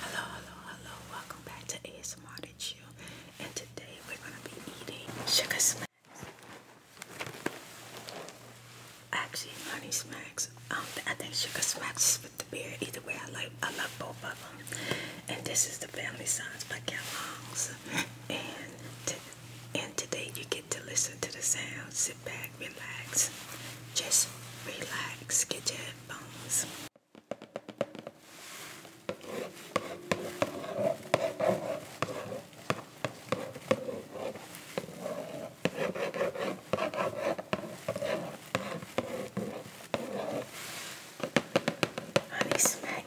Hello, hello, hello. Welcome back to ASMR to Chill. And today we're going to be eating sugar smacks. Actually, honey smacks. Um, I think sugar smacks with the beer. Either way, I like, I love both of them. And this is the Family Science by Cat Longs. And, and today you get to listen to the sounds back, relax. Just relax. Get your bones, Honey, smack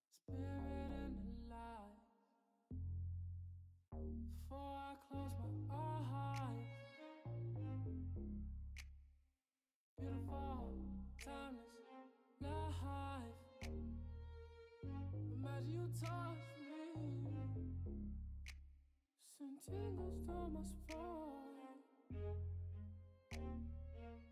Spirit and alive. Before I close my eyes. Beautiful, timeless life. Imagine you touch me. Send tingles down my spine.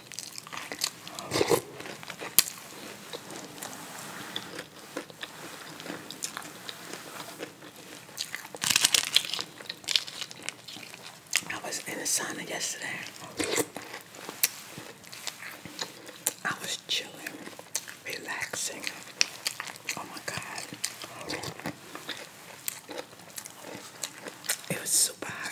I was in the sauna yesterday. I was chilling, relaxing. Oh my God. It was super hot.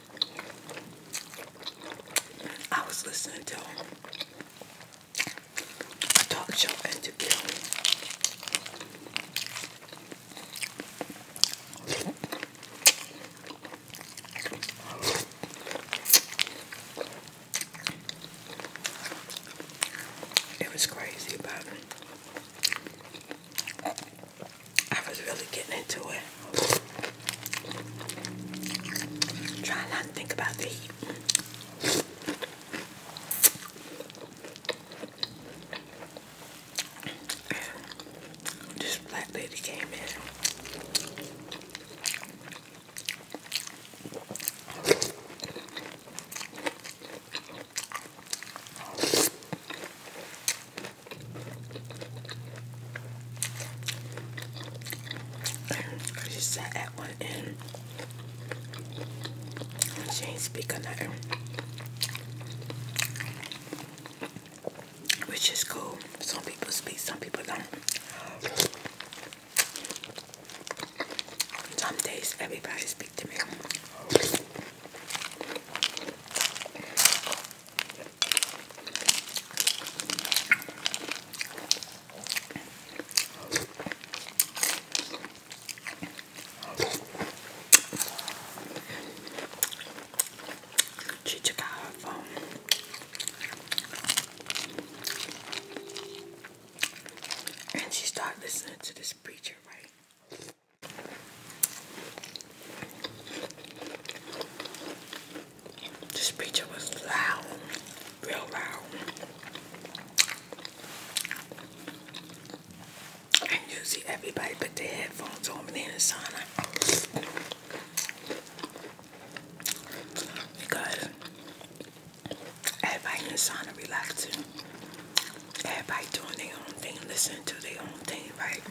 I was listening to a talk show interview. It was crazy, but I was really getting into it. Trying not to think about the heat. And black lady came in. She sat at one end. She ain't speaking nothing. Which is cool. Some people speak, some people don't. Some days everybody speak to me. She took out her phone. And she started listening to this preacher, right? This pizza was loud, real loud. And usually everybody put their headphones on when they in the sauna. Because everybody in the sauna relaxing everybody doing their own thing, Listen to their own thing, right?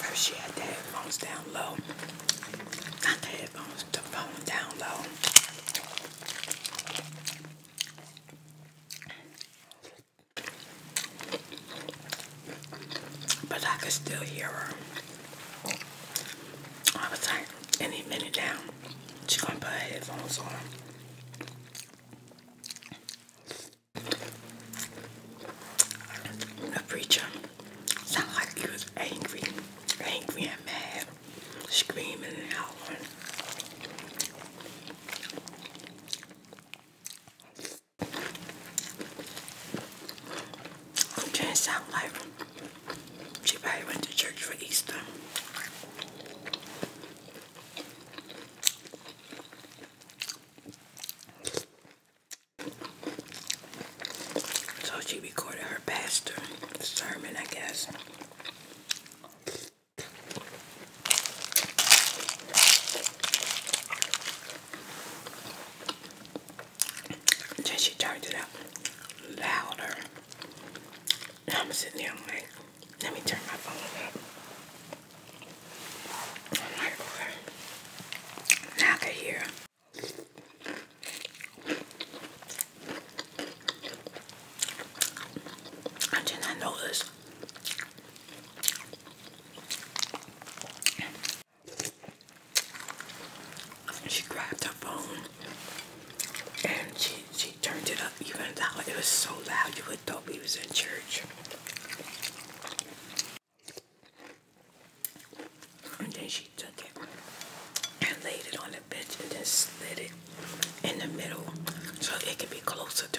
First, she had the headphones down low. Not the headphones, the phone down low. But I could still hear her. I was like, any minute now, she's gonna put her headphones on. The preacher sounded like he was angry, angry and mad, screaming and howling. Jen sound like she probably went to church for Easter. So she recorded her pastor's sermon, I guess. Then turned it up louder. I'm sitting there, i like, let me turn my phone up. I'm like, I can hear. And then she grabbed her phone and she she turned it up even loud. It was so loud you would thought we was in church. And then she took it and laid it on the bench and then slid it in the middle so it could be closer to.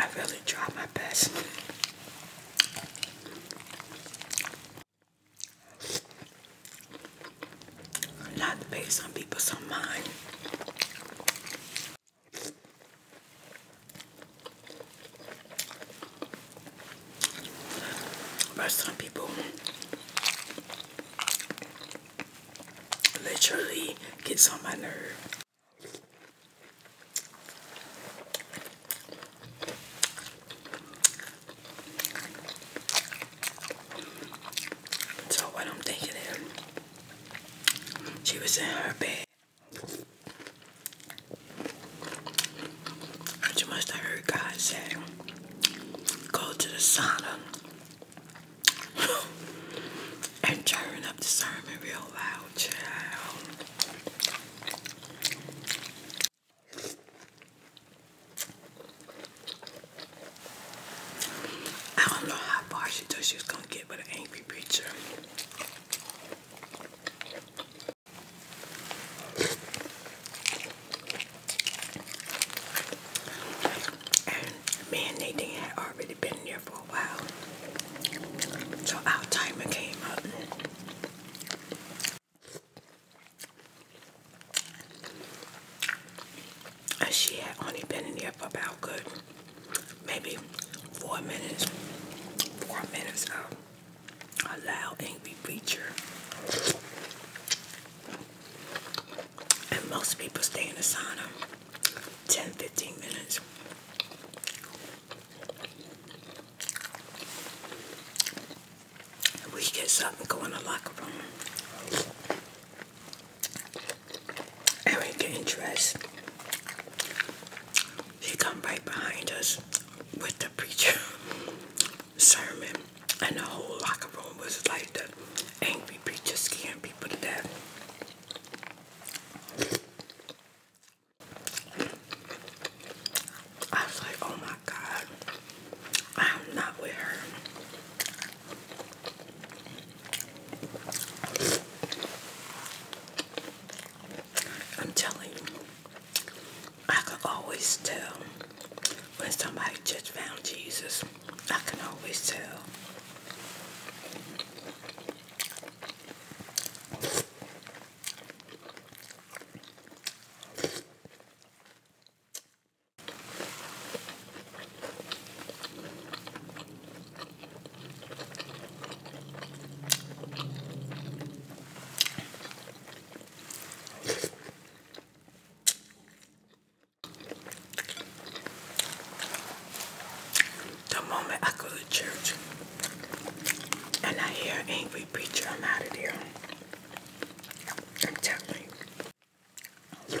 I really try my best. Not to pay people some mind. But some people literally gets on my nerve. So what I'm thinking is she was in her bed. She must have heard God say go to the sauna and turn up the sermon real loud, child. I don't know how far she thought she was gonna get with an angry preacher. And me and Nadine had already been there for a while. So our timer came up. And she had only been in there for about good maybe four minutes. Four minutes of um, a loud angry preacher. And most people stay in the sauna 10 15 minutes. We get something go in the locker room. And we getting dressed. She come right behind us with the preacher sermon, and the whole locker room was like the angry can't be put to death. I was like, oh my God, I'm not with her. I'm telling you, I can always tell when somebody just found Jesus. I can always tell. The moment I go to church and I hear angry preacher, I'm out of here. I'm telling you.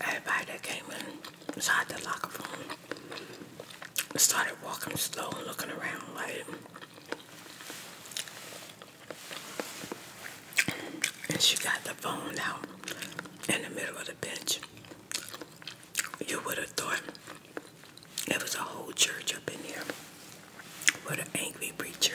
Everybody came inside the locker room started walking slow and looking around like and she got the phone out in the middle of the bench. You would have thought it was a whole church up in here with an angry preacher.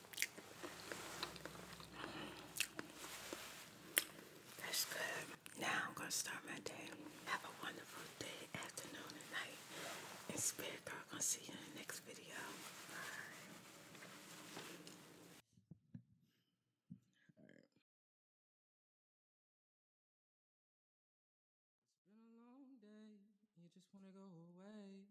That's good. Now I'm going to start my day. Have a wonderful day, afternoon, and night. And Spirit Girl, I'm see you in the next video. Bye. right. It's been a long day. You just want to go away.